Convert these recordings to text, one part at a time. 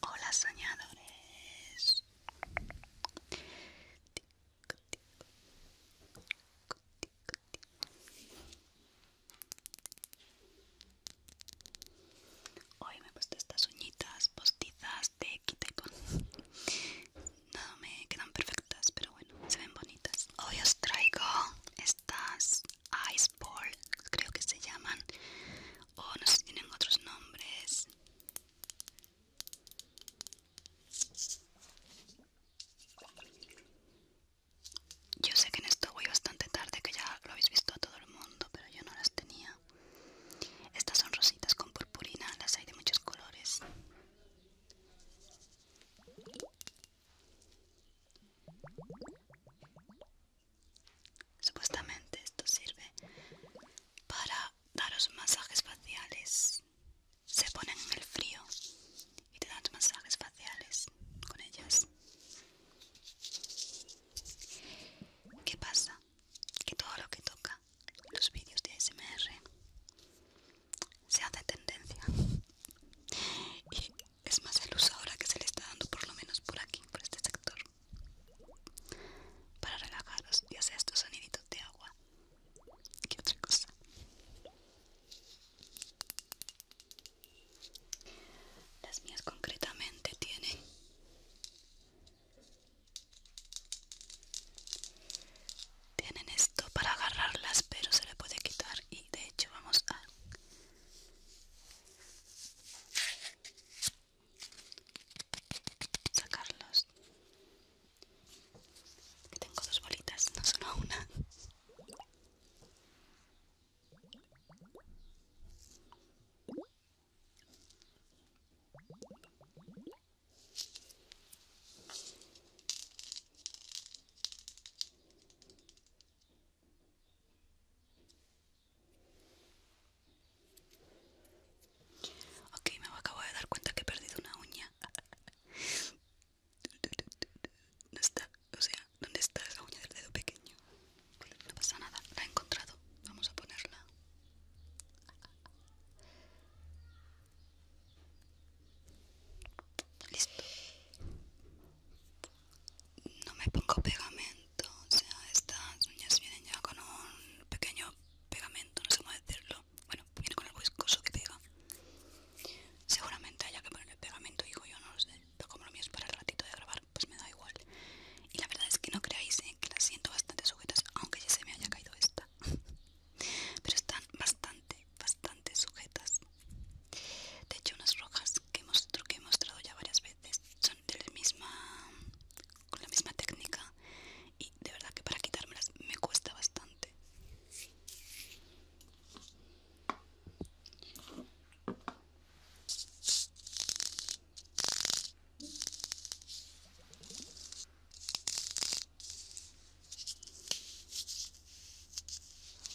Hola soñadores. Hoy me gustan estas uñitas postizas de Kitecon. No me quedan perfectas, pero bueno, se ven bonitas. Hoy os traigo estas Ice Ball, creo que se llaman o no sé si tienen otros nombres yo sé que en esto voy bastante tarde que ya lo habéis visto a todo el mundo pero yo no las tenía estas son rositas con purpurina las hay de muchos colores Supuestamente esto sirve para daros masajes faciales. Se ponen en el frío y te dan masajes faciales con ellas. ¿Qué pasa? Que todo lo que toca los vídeos de ASMR se hace tendencia. Es más el luz ahora que se le está dando por lo menos por aquí, por este sector. Para relajaros y sea estos soniditos de agua. ¿Qué otra cosa? Las mías concretamente tienen tienen esto para agarrarlas pero se le puede quitar y de hecho vamos a sacarlos tengo dos bolitas no solo una Ok, me acabo de dar cuenta que he perdido una uña. ¿Dónde está, o sea, ¿dónde está la uña del dedo pequeño? No pasa nada, la he encontrado. Vamos a ponerla. Listo no me pongo pegamento, o sea, estas uñas vienen ya con un pequeño pegamento, no sé cómo decirlo, bueno, viene con algo viscoso que pega. Seguramente haya que ponerle pegamento, digo yo, no lo sé, pero como lo mío es para el ratito de grabar, pues me da igual. Y la verdad es que no creáis eh, que las siento bastante sujetas, aunque ya se me haya caído esta. pero están bastante, bastante sujetas. De hecho, unas rojas que, hemos, que he mostrado ya varias veces son de la misma, con la misma técnica y de verdad que para quitármelas me cuesta bastante.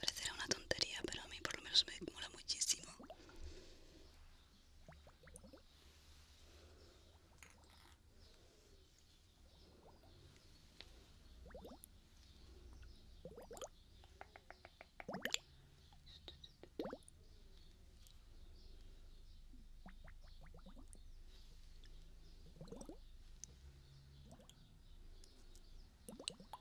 Parecerá una tontería, pero a mí por lo menos me mola muchísimo.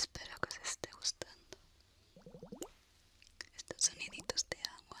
Espero que os esté gustando estos soniditos de agua.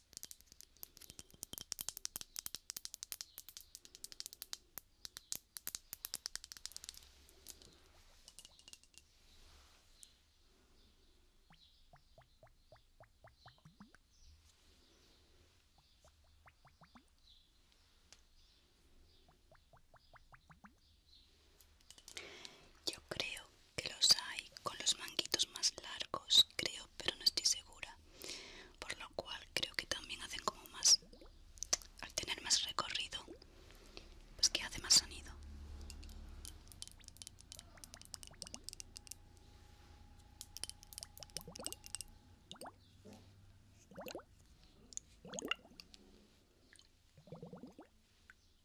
Yo creo que los hay con los manguitos más largos, creo, pero no estoy segura. Por lo cual creo que también hacen como más, al tener más recorrido, pues que hace más sonido.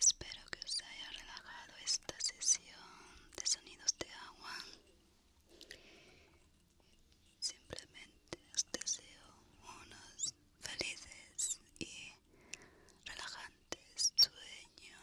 Espero que os haya relajado esta sesión de sonidos de agua. Simplemente os deseo unos felices y relajantes sueños.